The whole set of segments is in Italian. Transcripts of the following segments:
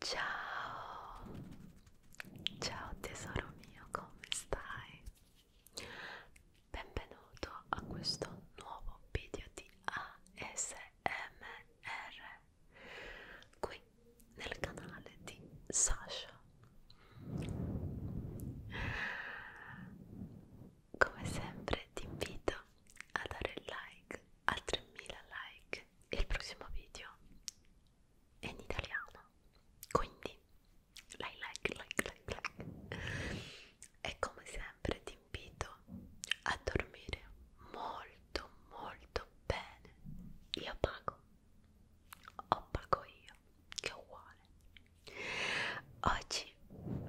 Ciao, ciao tesoro mio, come stai? Benvenuto a questo nuovo video di ASMR qui nel canale di Sasha. Come sempre ti invito a dare like a 3000 like il prossimo video è in italiano quindi like like like like like e come sempre ti invito a dormire molto molto bene io pago o pago io che uguale oggi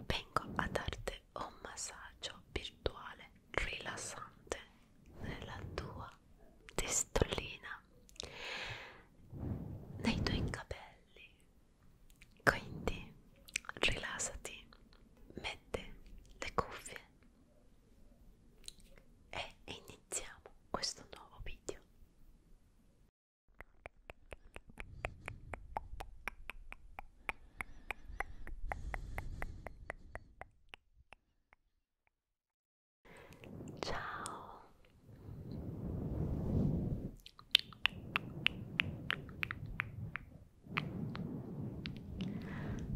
vengo a darti un massaggio virtuale rilassante nella tua testolina, nei tuoi capelli. Quindi rilassati, metti le cuffie e iniziamo questo nuovo video. Ciao.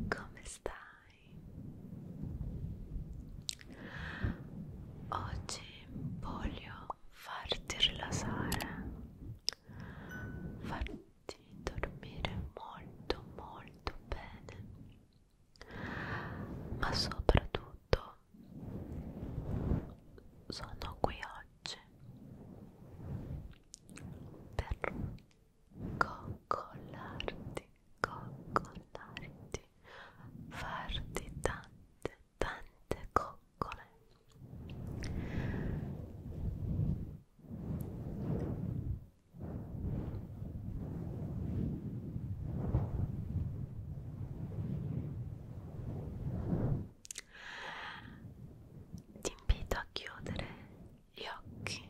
Come stai? Oggi voglio farti rilassare. Farti di dormire molto molto bene ma soprattutto sono qui oggi per coccolarti coccolarti farti tante tante coccole ti invito a chiudere gli occhi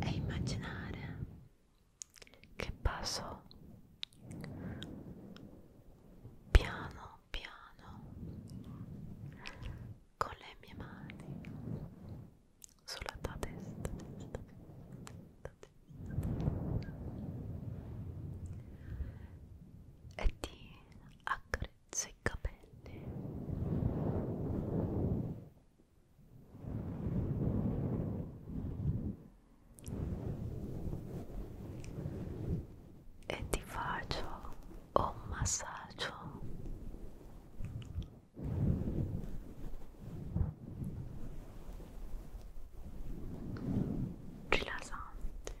e immaginare che passo piano piano con le mie mani sulla tua testa, testa, testa, testa. e ti accarezzo i capelli e ti faccio un massaggio rilassante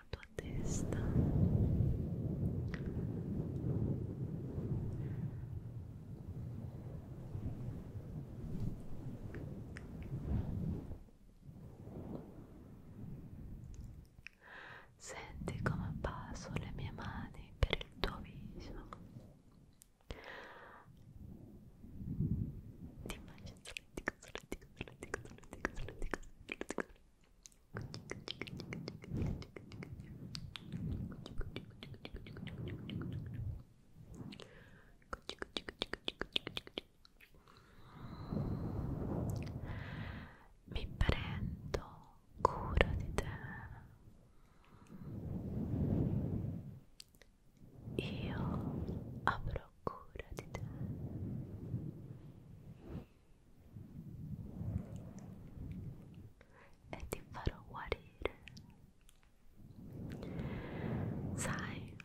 la tua testa senti come passo le mie mani per il tuo viso ti immagino mi prendo cura di te. Io avrò prenderò cura di te. E ti farò guarire. Sai,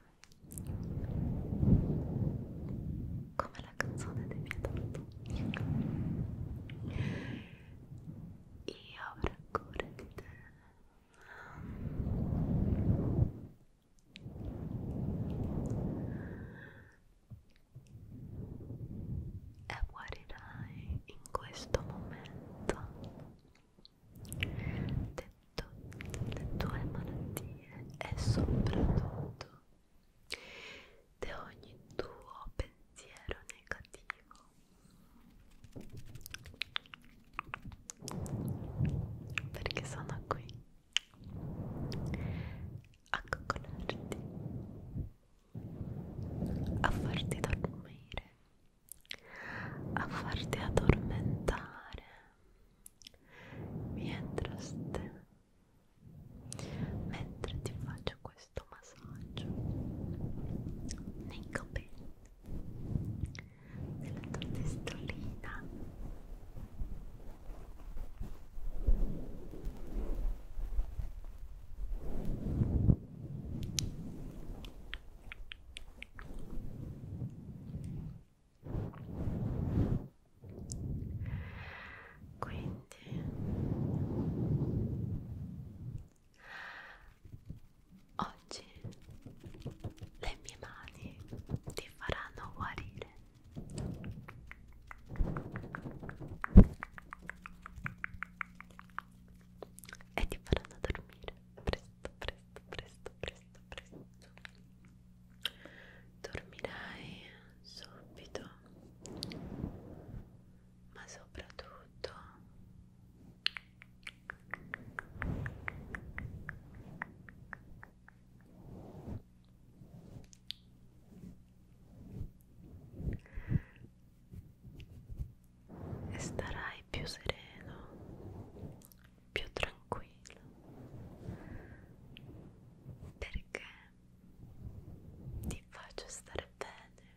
come la canzone dei Pietro. Io avrò cura di te e guarirai in questo momento detto, le tue malattie e soprattutto di ogni tuo pensiero negativo perché sono qui a coccolarti a farti dormire a farti addormentare mientras te mentre ti faccio questo massaggio nei capelli della tua testolina quindi Oggi le mie mani ti faranno guarire. E ti faranno dormire presto, presto, presto, presto, presto. Dormirai subito, ma soprattutto e starai più sereno, più tranquillo, perché ti faccio stare bene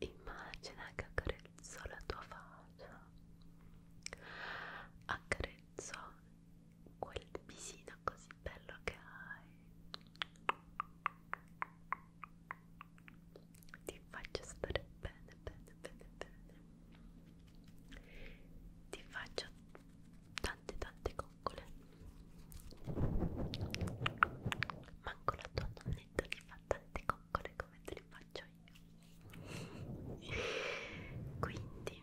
Immagina che accarezzo la tua faccia, accarezzo quel visino così bello che hai. Ti faccio stare bene, bene, bene, bene ti faccio tante tante coccole manco la tua nonnetta ti fa tante coccole come te le faccio io quindi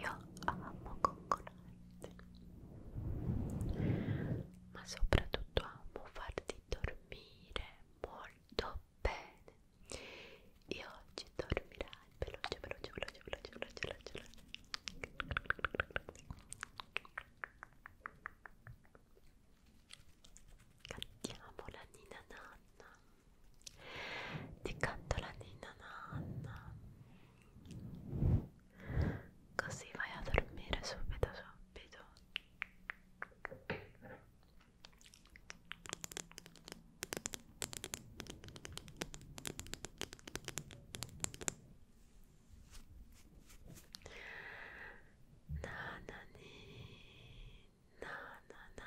Io amo coccolante, ma soprattutto amo farti dormire molto bene. E oggi dormirai veloce, veloce, veloce, veloce, veloce, veloce, veloce. Cantiamo la Nina Nanna. Ti canto la ninna nanna. Così vai a dormire subito subito. Nanani, nanana,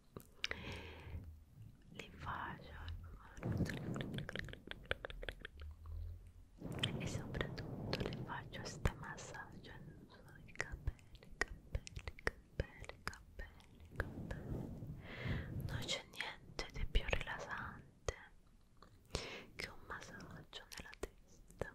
li faccio e soprattutto le faccio sta massaggio sui capelli, capelli, capelli, capelli, capelli non c'è niente di più rilassante che un massaggio nella testa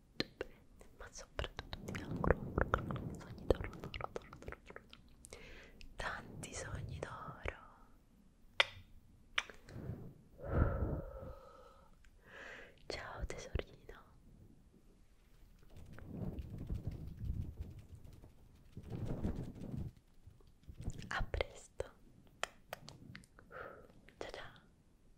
ma soprattutto ti auguro sogni d'oro, d'oro, d'oro, d'oro, tanti sogni d'oro. Ciao tesorino. A presto. Ciao ciao.